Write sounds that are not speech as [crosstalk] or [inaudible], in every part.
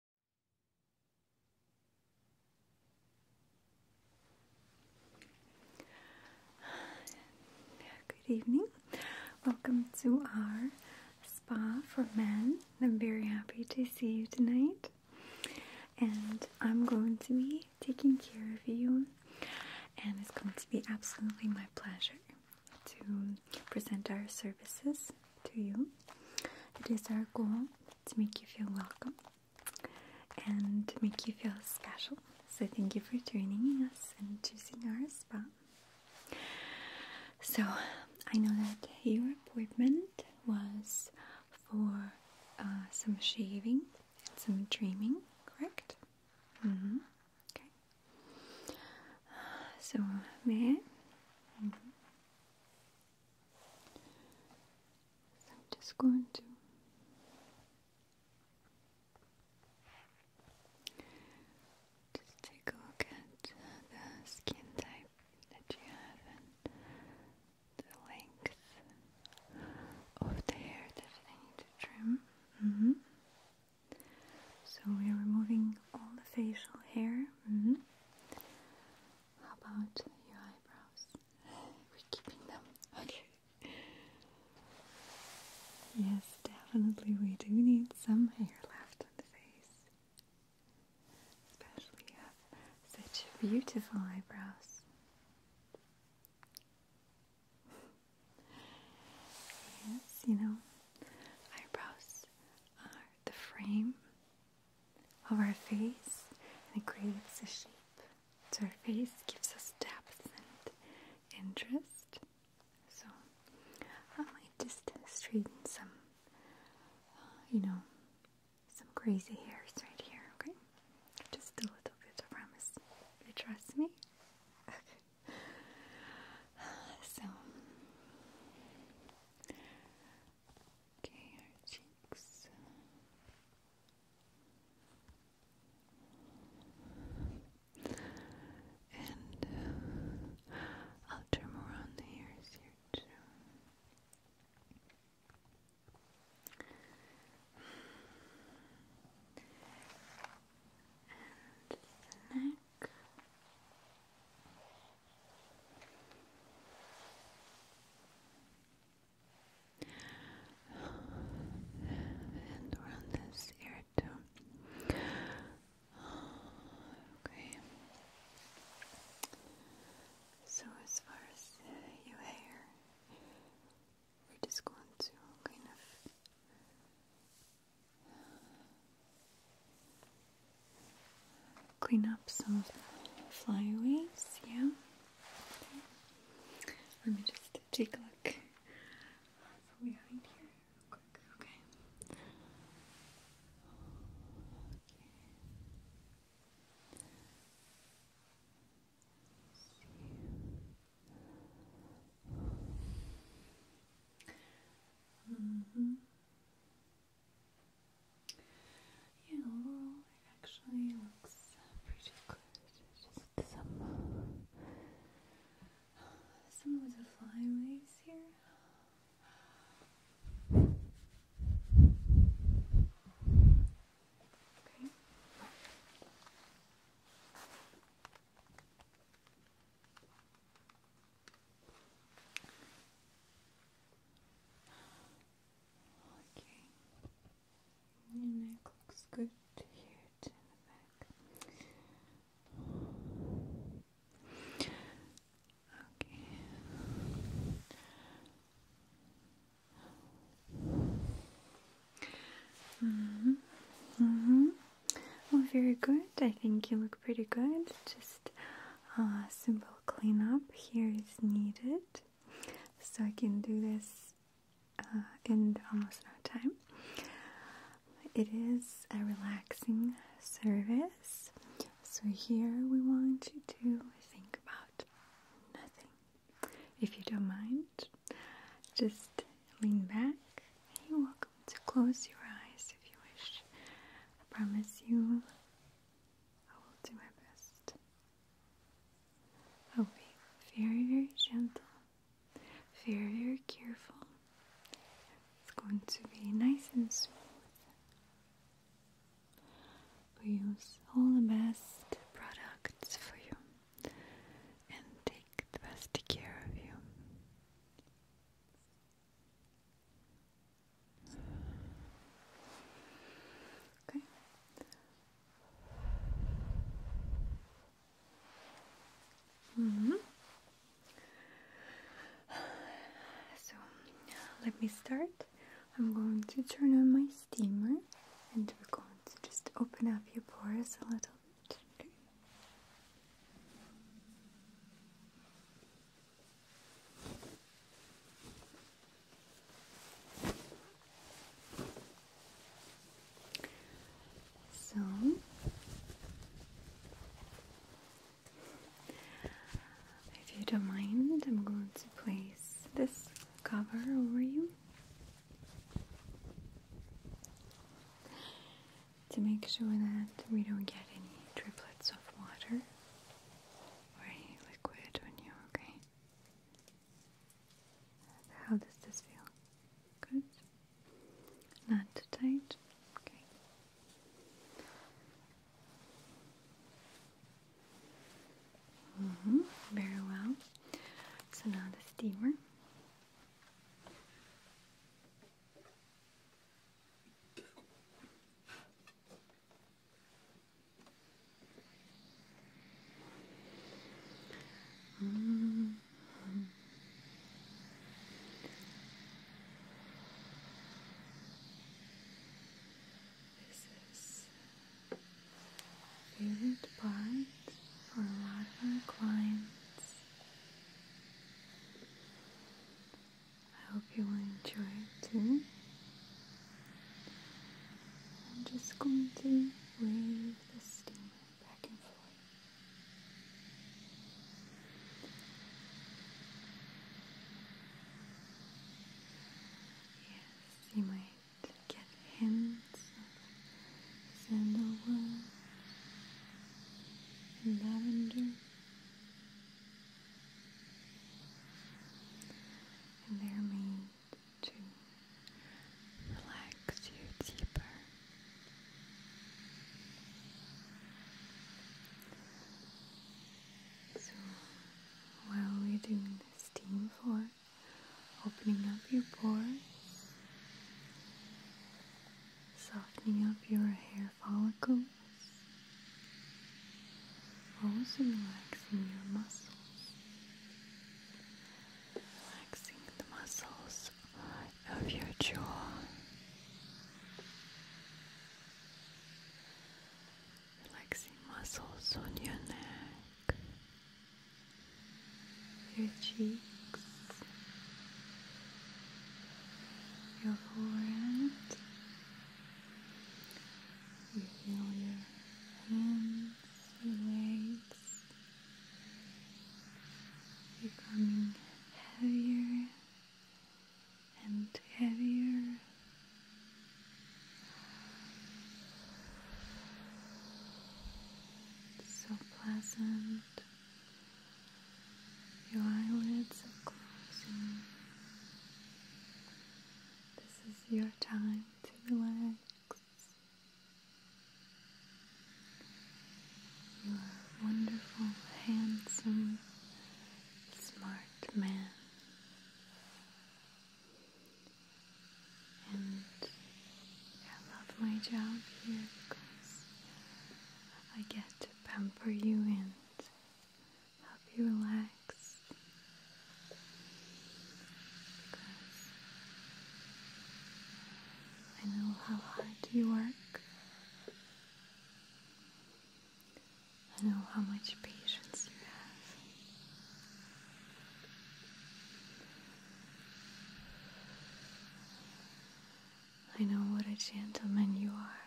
[sighs] Good evening. Welcome to our spa for men. I'm very happy to see you tonight. And I'm going to be taking care of you. And it's going to be absolutely my pleasure to present our services to you. It is our goal to make you feel welcome and to make you feel special. So, thank you for joining us and choosing our spa. So, I know that your appointment was for uh, some shaving and some trimming, correct? Mm hmm. Okay. So, may I? Mm so I'm just going to just take a look at the skin type that you have and the length of the hair that I need to trim. Mm-hmm. So we are removing all the facial hair. Mm-hmm. How about your eyebrows? We're keeping them. Okay. Yes, definitely we do need some hair left on the face. Especially you have such beautiful eyebrows. yes, you know, eyebrows are the frame of our face and it creates a shape. So our face gives us depth and interest. So I might just straighten some, uh, you know, some crazy hairs right here, okay? Just a little bit, I promise. You trust me? Okay. [laughs] So, Okay, our cheeks. And I'll uh, turn around the ears here too. And neck. And around this ear too. Okay. So as far as uh, your hair, we're just going to kind of clean up some flyaways. Yeah. Let me just take a look from behind here, quick. Okay. okay. Mm -hmm. Yeah, overall it actually looks pretty good. Just some some of the flyaways here. Okay. Okay. Your neck looks good here to the back. Okay. hmm hmm Well, very good. I think you look pretty good. Just just uh, simple cleanup here is needed. So I can do this uh, in almost no time. It is a relaxing service. So here we want you to think about nothing. If you don't mind, just lean back. You're welcome to close your eyes if you wish. I promise you I will do my best. I'll be very, very gentle, very, very careful. It's going to be nice and smooth. We use all the best products for you and take the best care of you. Okay. Mm-hmm. So let me start. I'm going to turn on my steamer and we're going to just open up your pores a little bit. So if you don't mind, I'm going to place this cover over you to make sure that we don't get any driplets of water or liquid on you, okay? How does this feel? Good? Not too tight? Okay. Mm-hmm, very well. So now the steamer. Mm -hmm. This is favorite part for a lot of our clients. I hope you will enjoy it too. I'm just going to wave the steamer back and forth. Yes, you might get hints of sandalwood and lavender and they're made to relax you deeper. So while we're doing the steam for opening up your pores, softening up your hair follicles, also relaxing your muscles, relaxing the muscles of your jaw, relaxing muscles on your neck, your cheeks, your forehead. You feel your hands, and legs becoming heavier and heavier. so pleasant. Your eyelids are closing. This is your time to relax. You are wonderful, handsome, smart man. And I love my job here because I get to pamper you and help you relax I know how hard you work. I know how much patience you have. I know what a gentleman you are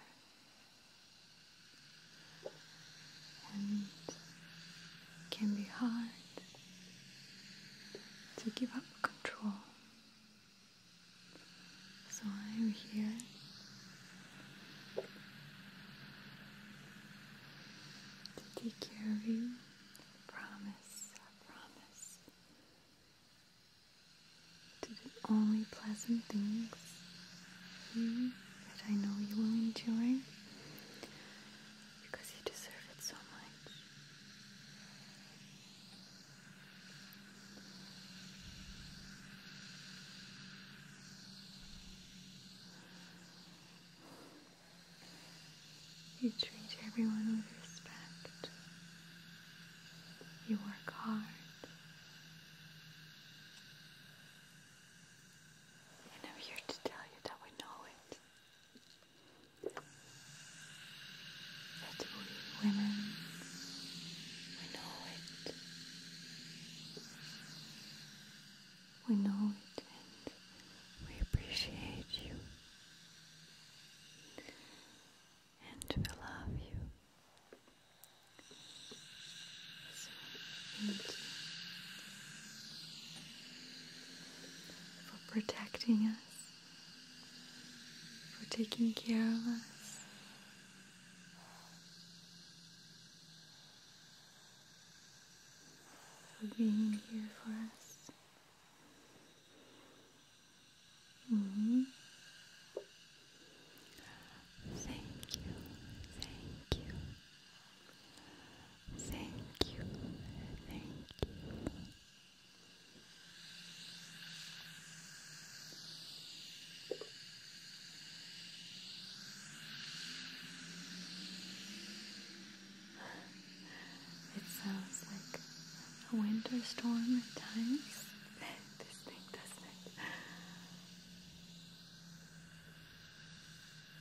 it can be hard to give up control. So I am here to take care of you. I promise, I promise to do only pleasant things Mm-hmm. that I know you will enjoy because you deserve it so much. You treat everyone with respect. You work hard. And I'm here to tell you that we know it. That we women, we know it. We know it and we appreciate you. And we love you for protecting us, for taking care of us. For being here for us. Mm-hmm. Thank you, thank you, Thank you. Thank you. It sounds like a winter storm at times. [laughs] this thing, doesn't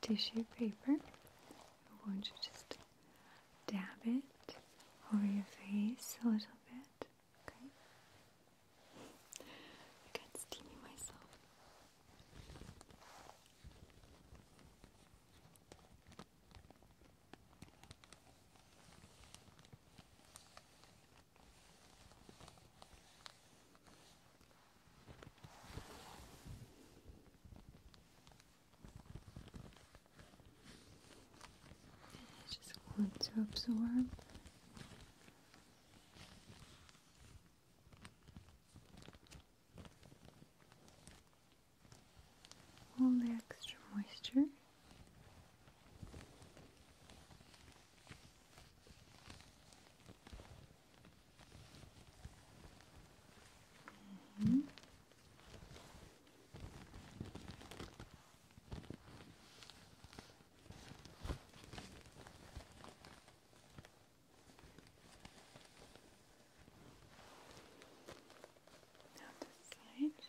tissue paper. I want you to just dab it over your face a little bit. Okay. I got steamy myself. I just want to absorb all the extra moisture. Mm -hmm. this side.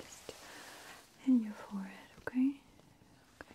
Just in your forehead, okay? Okay.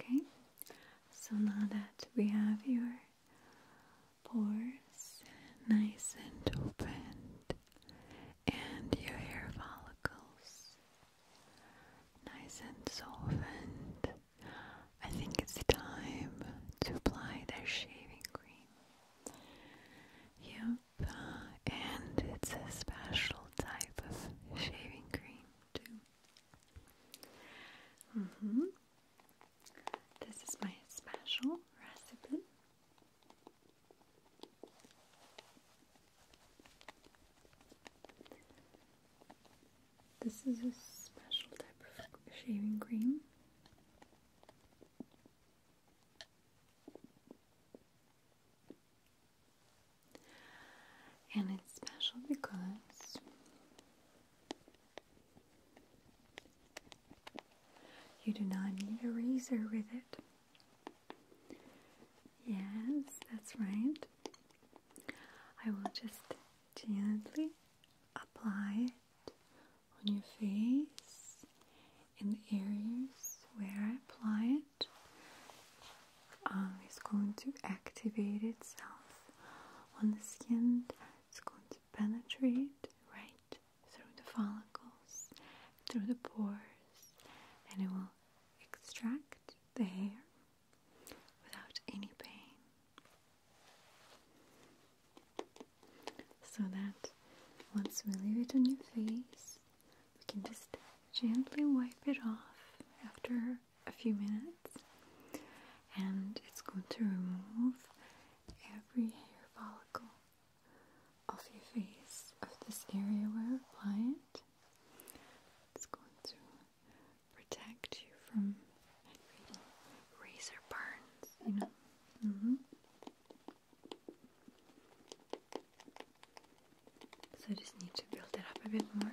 Okay, so now that we have your pores nice and opened and your hair follicles nice and solvent, I think it's time to apply the shaving cream. You and it's a special type of shaving cream too. Mm-hmm. This is my special recipe. This is a special type of shaving cream. And it's special because you do not need a razor with it. Yes, that's right. I will just gently apply it on your face in the areas where I apply it um, going to activate itself on the skin. It's going to penetrate right through the follicles, through the pores, and it will extract the hair without any pain. So that once we leave it on your face, we can just gently wipe it off after a few minutes, and it's going to remove every hair follicle off your face, of this area where I apply it. It's going to protect you from razor burns, you know. Mm-hmm. So I just need to build it up a bit more.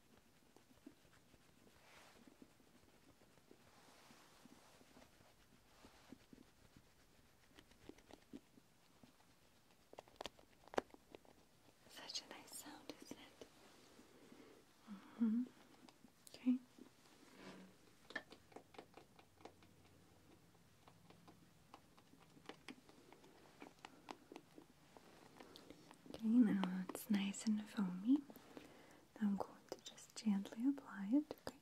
Such a nice sound, isn't it? hmm Okay. Okay, now it's nice and foamy. I'm going to just gently apply it, okay?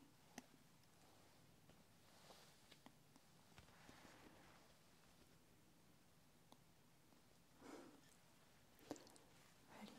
Ready?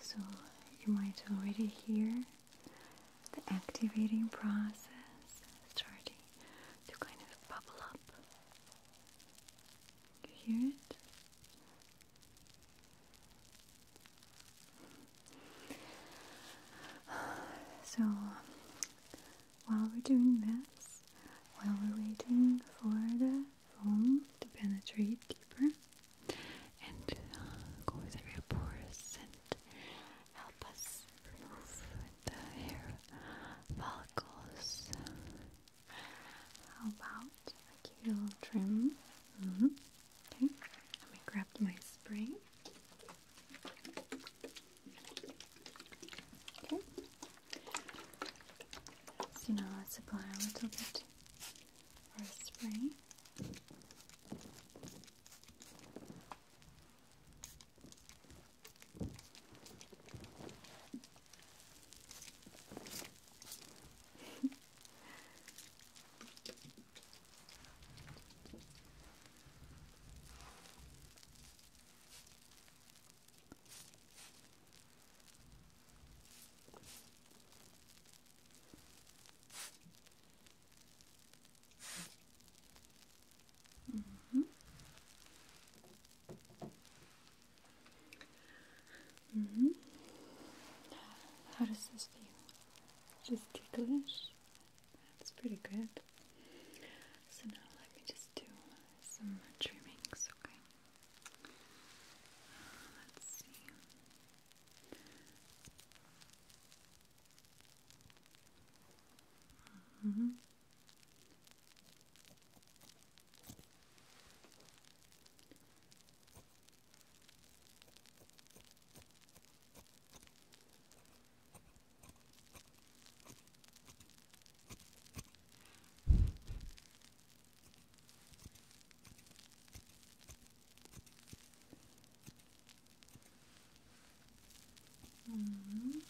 So you might already hear the activating process starting to kind of bubble up. You hear it? So while we're doing this, while we're waiting for the to penetrate deeper and uh, go with every pores and help us remove the hair follicles. How about a cute little trim? Mm-hmm. Okay, let me grab my spray. Okay. So now let's apply a little bit for spring. [laughs] Mm -hmm. Mm -hmm. How does this feel? Just ticklish? That's pretty good. So now let me just do some trimmings, okay? Let's see. Mm -hmm. Mm -hmm.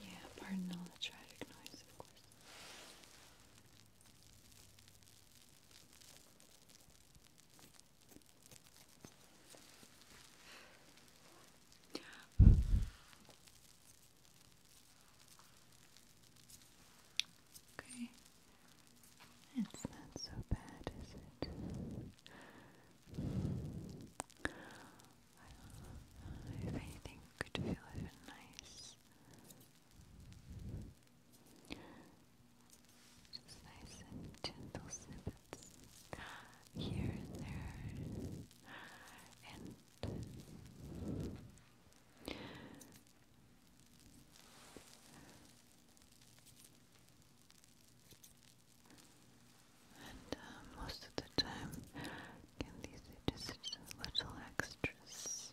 Yeah, pardon all the tragic noise, of course. Okay. It's not so bad, is it? if anything could feel even nice. Just nice and gentle snippets here and there and and uh, most of the time, again, these just little extras.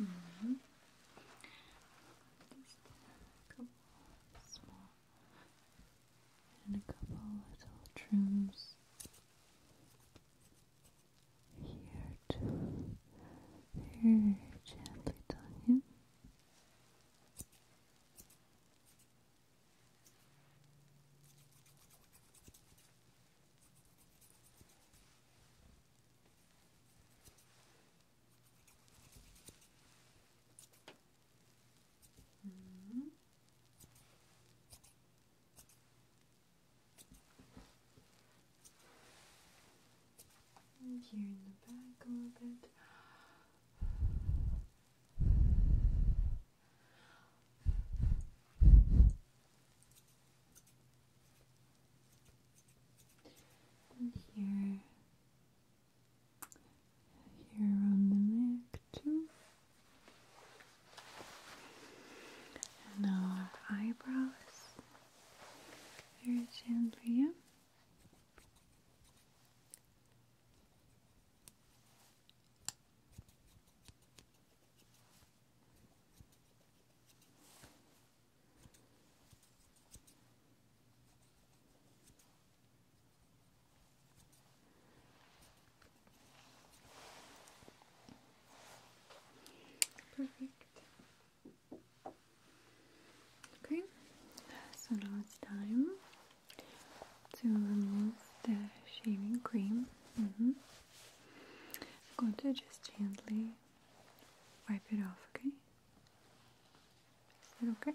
Mm -hmm. Just a couple small and a couple little trims here too. Very gently down here. -hmm. And here in the back a little bit. And here, here around the neck too. And our eyebrows very gently. Okay, so now it's time to remove the shaving cream. Mm-hmm. I'm going to just gently wipe it off, okay? Is that okay?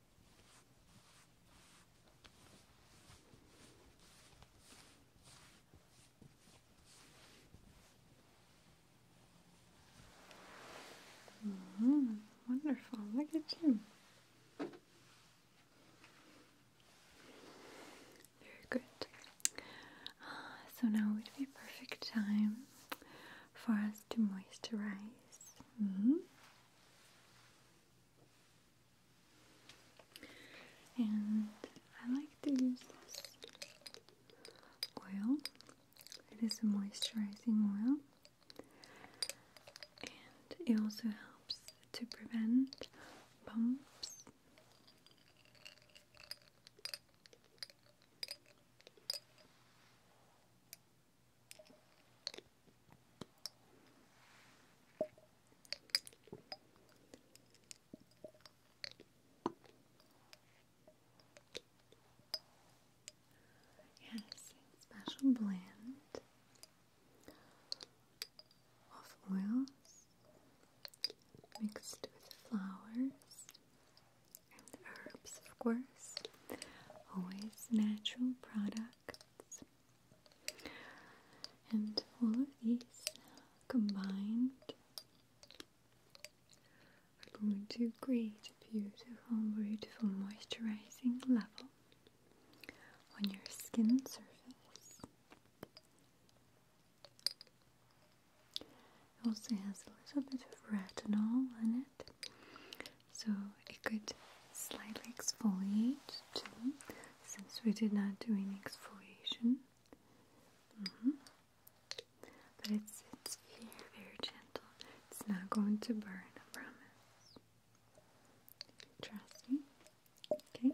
-hmm. Wonderful, look at you. Very good. Ah, so now would be a perfect time for us to moisturize. -hmm. And I like to use this oil. It is a moisturizing oil. And it also helps to prevent bumps. Yes, special blend of oils mixed with flowers and herbs, of course. Always natural products. And all of these combined are going to create a beautiful, beautiful moisturizing level on your skin surface. It also has a little bit of retinol in it, so it could slightly exfoliate too, since we did not do any exfoliation. Mm-hmm. But it's it's very very gentle. It's not going to burn, I promise. Trust me. Okay.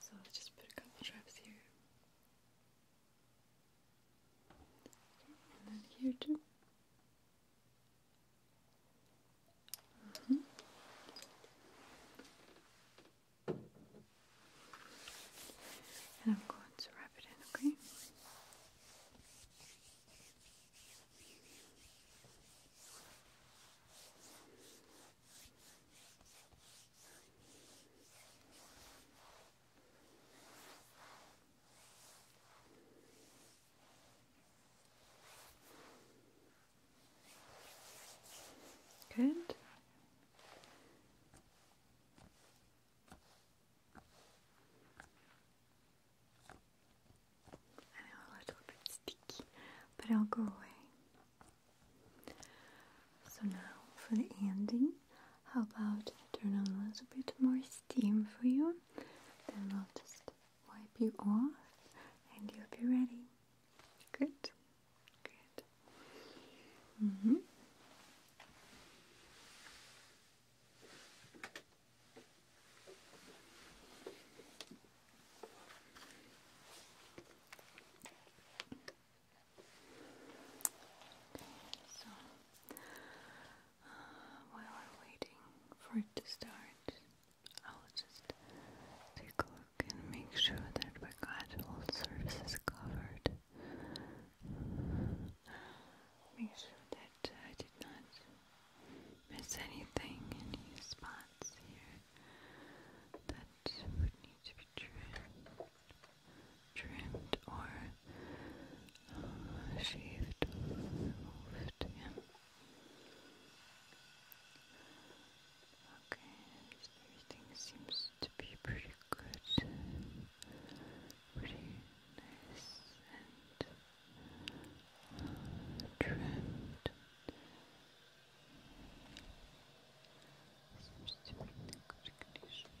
So let's just put a couple drops here. and then here too. Okay. And I'm going to wrap it in, okay? Okay. Good. I know a little bit sticky, but I'll go away. So now for the ending, how about turn on a little bit more steam for you? Then I'll just wipe you off and you'll be ready. Good, good. Mm hmm. so while we're waiting for it to start, I'll just take a look and make sure that we got all surfaces covered. Make sure that I did not miss anything, any spots here that would need to be trimmed, trimmed or uh, to him. Okay, everything seems to be pretty good, pretty nice and uh, trimmed. Seems to be in good Okay.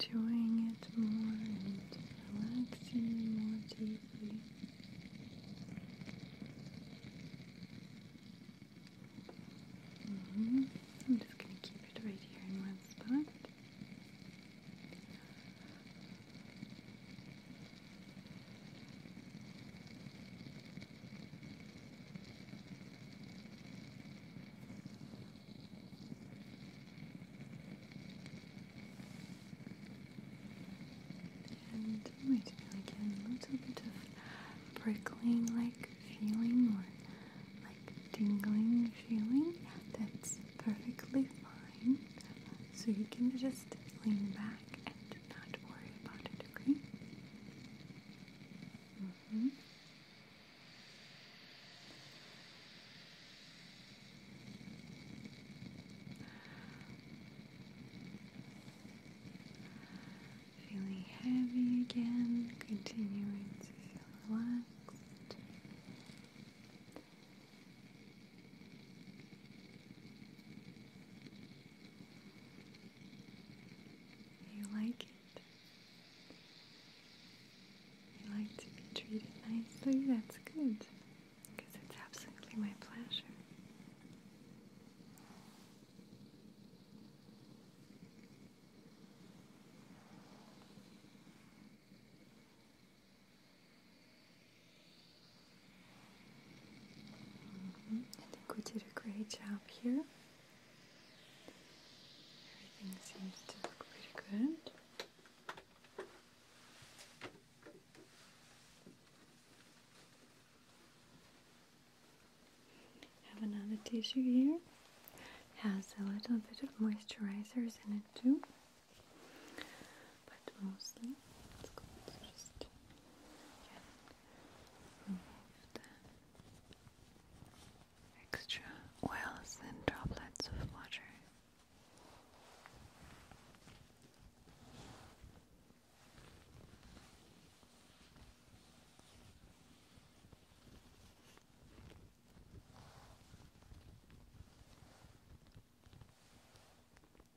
enjoying it more and relaxing more deeply. Mm-hmm. I'm just going to keep it right here in one spot. And oh it a little bit of prickling like feeling or like tingling feeling. That's perfectly fine. So you can just lean back and not worry about it, okay? Mm -hmm. Feeling heavy again, continuing to feel you like it. You like to be treated nicely, that's good. Because it's absolutely my pleasure. I think we did a great job here. Everything seems to look pretty good. Have another tissue here. Has a little bit of moisturizers in it too. But mostly it's good remove the extra oils and droplets of water.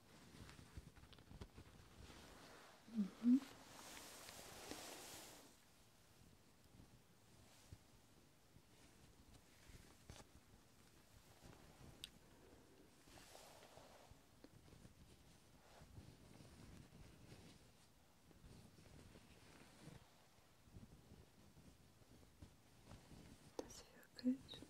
Does it feel good?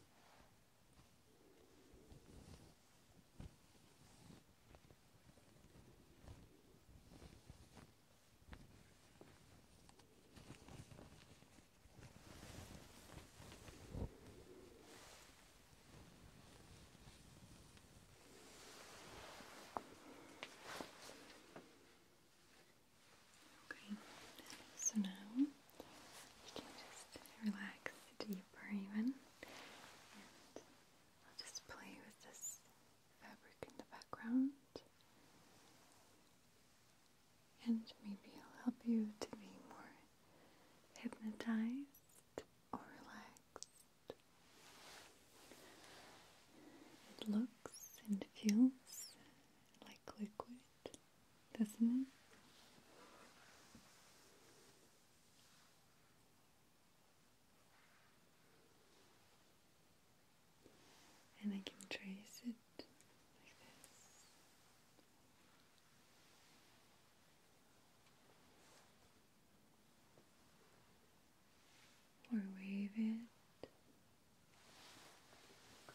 Okay, so now you can just relax deeper even. And I'll just play with this fabric in the background. And maybe i will help you to be more hypnotized or relaxed. It looks and feels like liquid, doesn't it? and I can trace it like this. Or wave it.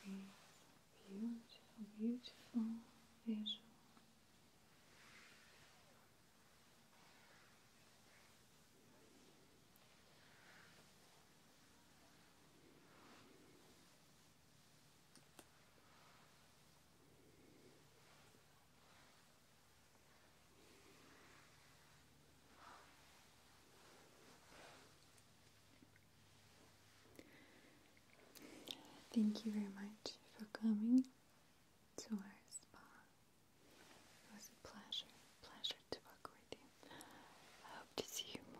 beautiful, beautiful visual. Thank you very much for coming to our spa. It was a pleasure, pleasure to work with you. I hope to see you more.